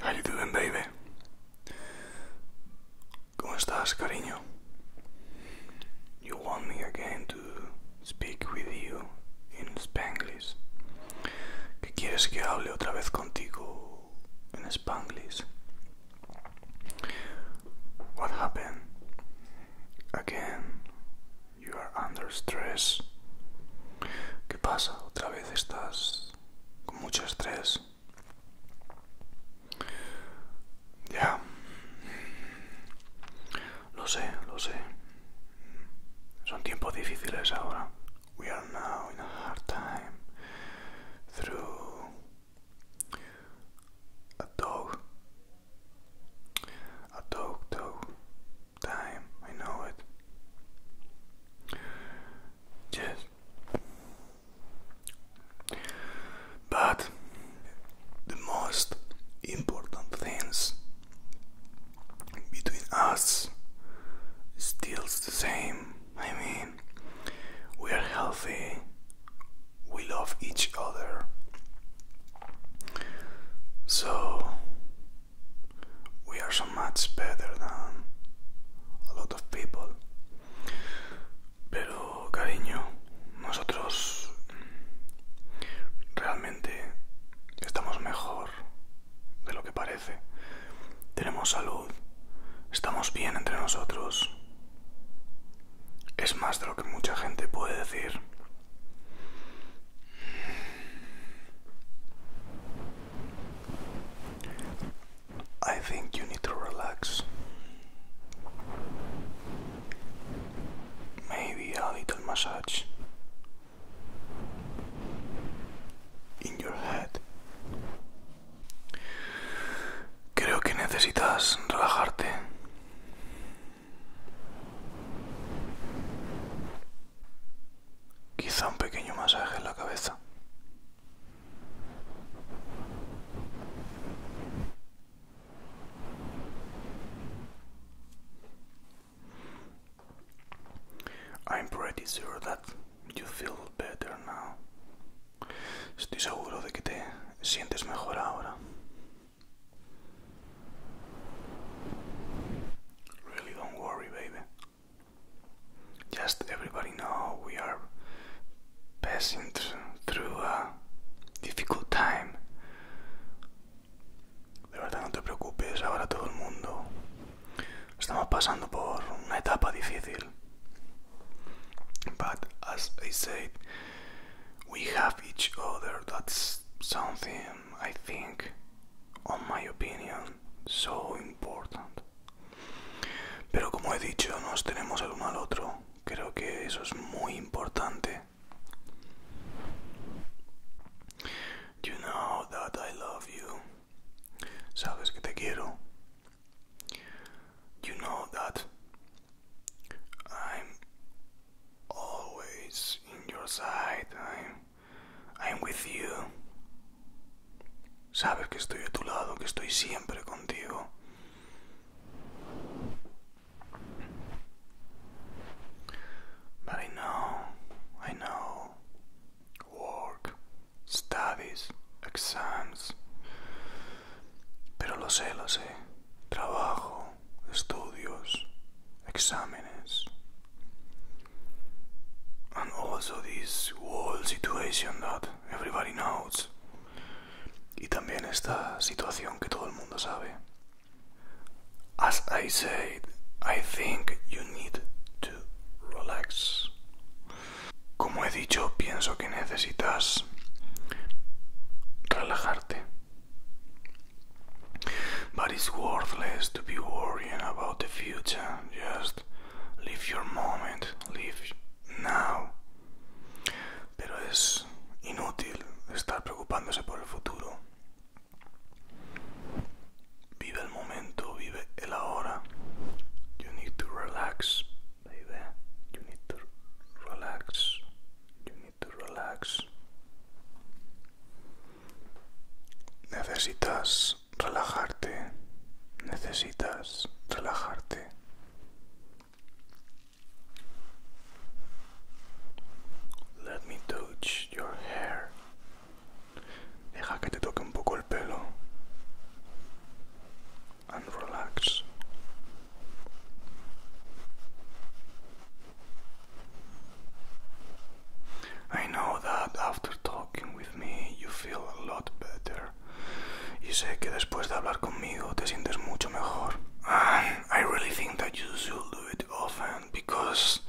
How you doing, baby? ¿Cómo estás, cariño? You want me again to speak with you in Spanglish? What happened? Again, you are under stress. estás con mucho estrés. Ya. Lo sé, lo sé. Son tiempos difíciles ahora. We are now in a hard time. Through a dog. A dog, dog. time, I know it. Yes. But the most important things between us still the same. I mean, we are healthy, we love each other. So we are so much better than a lot of people. Pero, cariño, nosotros realmente estamos mejor de lo que parece. Tenemos salud, estamos bien entre nosotros. Es más de lo que mucha gente puede decir. I think you need to relax. Maybe a little massage in your head. Creo que necesitas relajarte. Quizá un pequeño masaje en la cabeza. Estoy seguro de que te sientes mejor ahora. Really don't worry, baby. Just everybody know we are passing through a difficult time. De verdad no te preocupes, ahora todo el mundo estamos pasando por una etapa difícil. But as I said, we have each other. That's something I think, on my opinion, so important. Pero como he dicho, nos tenemos el uno al otro. Creo que eso es muy importante. You know that I love you. Sabes que te quiero. You know that I'm always in your side. I'm, I'm with you. Sabes que estoy a tu lado, que estoy siempre contigo. I know, I know. Work, studies, exams. Pero lo sé, lo sé. Trabajo, estudios, exámenes. And also this whole situation that everybody knows. Y también esta situación que todo el mundo sabe. As I said, I think you need to relax. Como he dicho, pienso que necesitas relajarte. But it's worthless to be worrying about the future. Just live your moment, live now. Pero es inútil estar preocupándose por el futuro. Vive el momento, vive el ahora. You need to relax, baby. You need to relax. relax. Necesitas relajarte. Necesitas relajarte. Let me touch your hair. Deja que te toque un poco el pelo. And relax. I know that after talking with me you feel a lot better. You say que después de hablar conmigo te sientes mucho mejor. And I really think that you should do it often because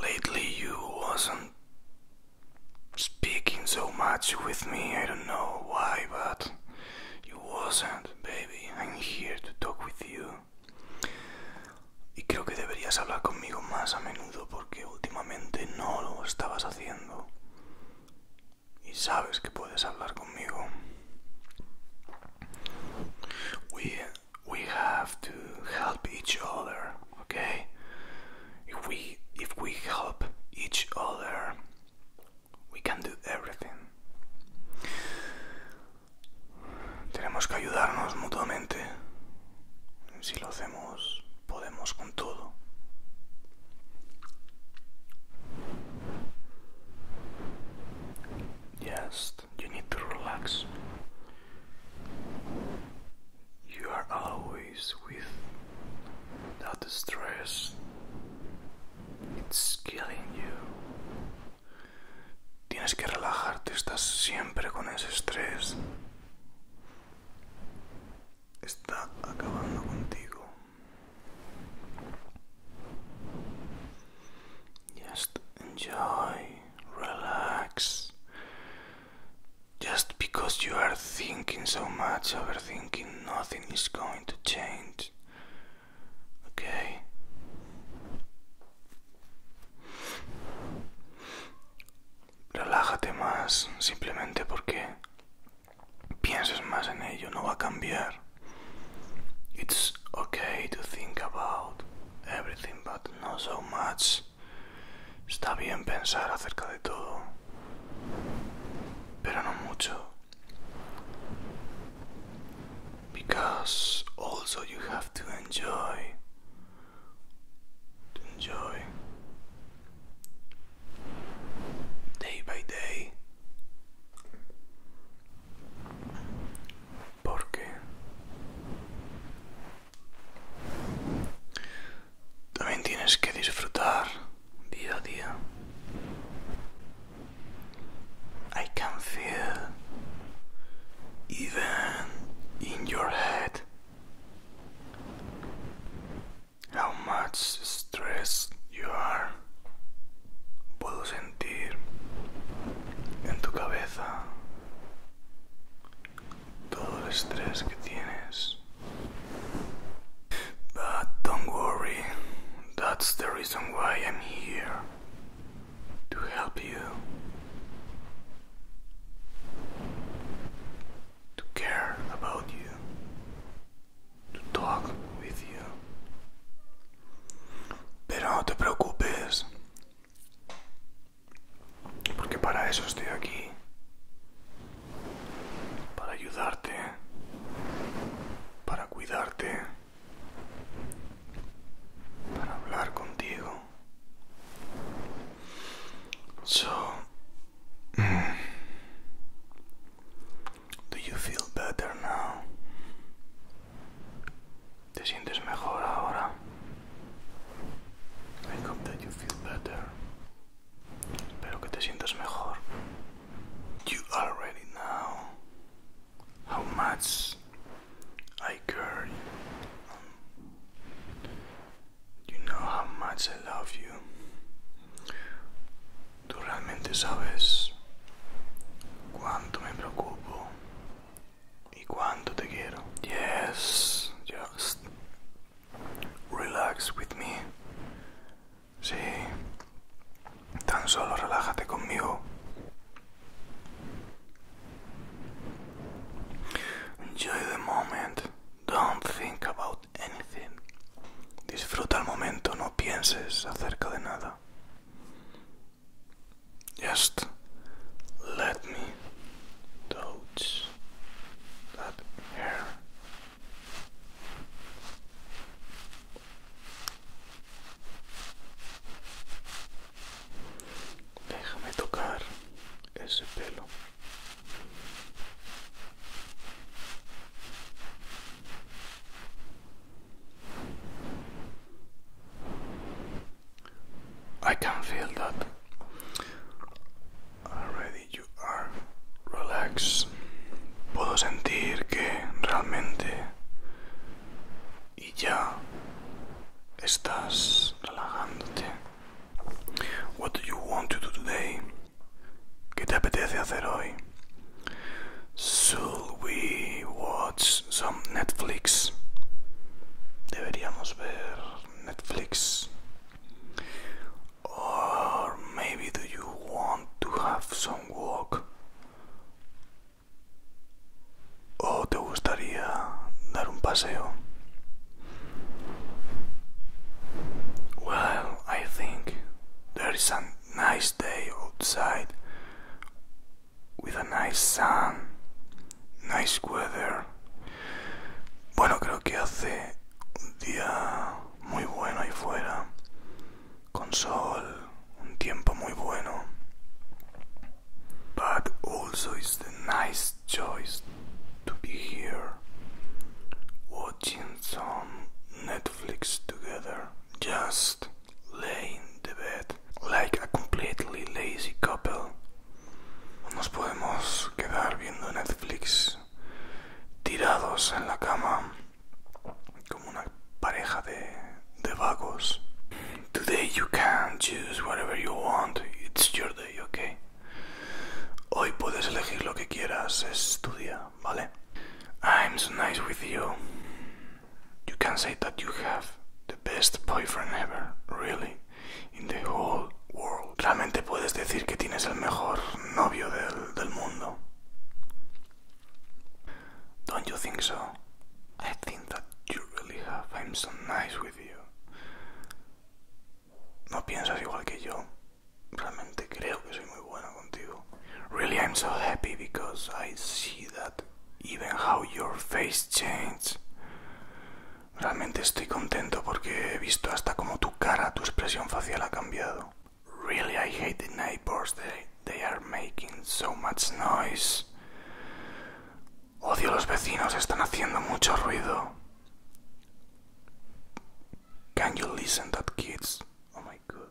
lately you wasn't speaking so much with me. I don't know why, but you wasn't, baby. I'm here to talk with you. And I think you Y creo que deberías hablar conmigo más a menudo porque últimamente no lo estabas haciendo. Y sabes que puedes hablar conmigo. We we have to help each other, okay? If we if we help each other, we can do everything. Tenemos que ayudarnos mutuamente. Si lo hacemos, podemos do todo. Yes, you need to relax. You are always with that stress It's killing you. Tienes que relajarte, estás siempre con ese estrés. Está acabando contigo. Just enjoy, relax. Just because you are thinking so much ver thinking nothing is going to change. Okay? Relájate más simplemente porque pienses más en ello, no va a cambiar. It's okay to think about everything, but not so much. Está bien pensar acerca de todo, pero no mucho. because also you have to enjoy enjoy day by day porque también tienes que disfrutar día a día. I can feel even in your head how much stress you are. But don't worry, that's the reason why I'm here to help you, to care about you, to talk with you. Pero no te preocupes, porque para eso estoy aquí. para ayudarte, para cuidarte, para hablar contigo. So, mm. do you feel better now? ¿Te sientes mejor ahora? I hope that you feel better. Espero que te sientas mejor. You already know how much I care. You know how much I love you. Tú realmente sabes cuánto me preocupo y cuánto te quiero. Yes, just Relax with me. Sí. Tan solo relájate conmigo. Enjoy the moment. Don't think about anything. Disfruta el momento, no pienses acerca de nada. Just let me that hair. Déjame tocar ese pelo. I can feel that Already you are relaxed. Puedo sentir que realmente y ya estás relajándote. What do you want to do today? ¿Qué te apetece hacer hoy? Should we watch some Netflix? Deberíamos ver Netflix. Or maybe do you want to have some walk? ¿O te gustaría dar un paseo? Well, I think there is a nice day outside with a nice sun. Nice weather. Bueno, creo que hace un día muy bueno ahí fuera. Con sol, un tiempo muy bueno. But also it's the nice choice to be here watching some Netflix together. Just laying the bed like a completely lazy couple nos podemos quedar viendo Netflix tirados en la cama como una pareja de, vagos. Today you can choose whatever you want. It's your day, okay? Hoy puedes elegir lo que quieras, Estudia, ¿vale? I'm so nice with you. You can say that you have the best boyfriend ever, really in the whole world. Realmente puedes decir que tienes el mejor novio del, del mundo. Don't you think so? I think that you really have. I'm so nice with you. No piensas igual que yo. Realmente creo que soy muy bueno contigo. Really, I'm so happy because I see that even how your face changed. Realmente estoy contento porque he visto hasta como tu cara, tu expresión facial ha cambiado. Really, I hate the neighbors. They, they are making so much noise. Odio los vecinos, están haciendo mucho ruido. Can you listen that kids? Oh my god.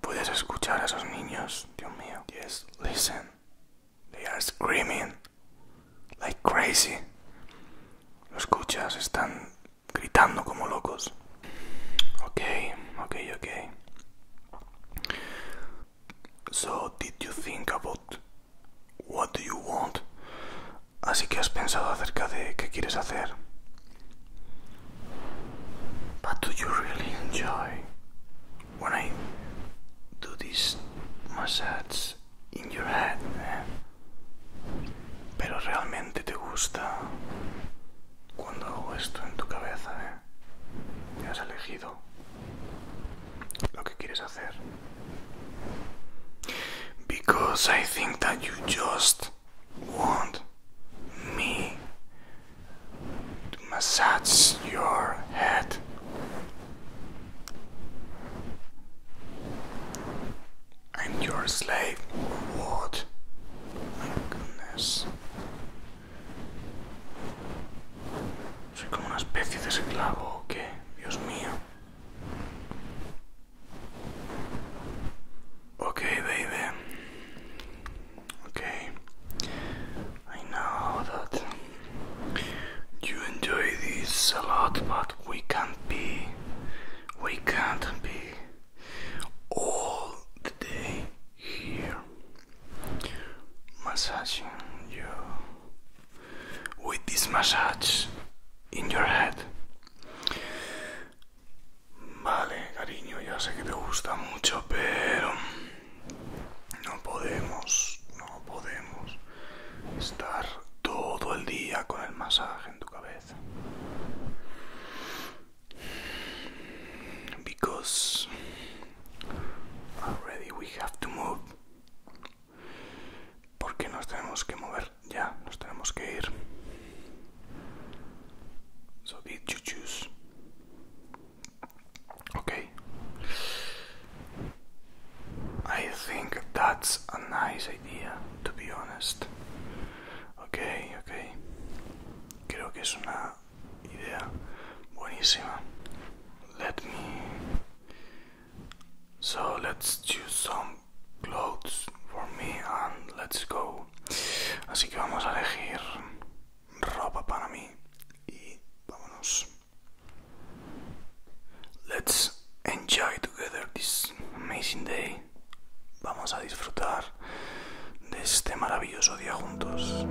¿Puedes escuchar a esos niños? Dios mío. Yes, listen. They are screaming like crazy. Lo escuchas, están gritando como locos. Ok, ok, ok. So, did you think about what you want? Así que has pensado acerca de qué quieres hacer. But do you really enjoy when I do masajes en in your head. Eh, pero realmente te gusta cuando hago esto en tu cabeza, ¿eh? has elegido lo que quieres hacer. Because I think that you just want me massage your head. I'm your slave or what? My goodness. Soy como una especie de esclavo o qué, Dios mío. Okay, baby. Okay, I know that you enjoy this a lot, but we can't be, we can't be all the day here massaging you with this massage in your head. Vale, cariño, ya sé que te gusta mucho, pero no podemos, no podemos estar todo el día con el masaje en tu cabeza. Because already we have to move. Porque nos tenemos que mover ya, nos tenemos que ir. So did you choose Okay. I think that's a nice idea, to be honest. Ok, ok. Creo que es una idea buenísima. Let me. So let's choose some clothes for me and let's go. Así que vamos a elegir ropa para mí y vámonos. Let's enjoy together this amazing day. Vamos a disfrutar de este maravilloso día juntos.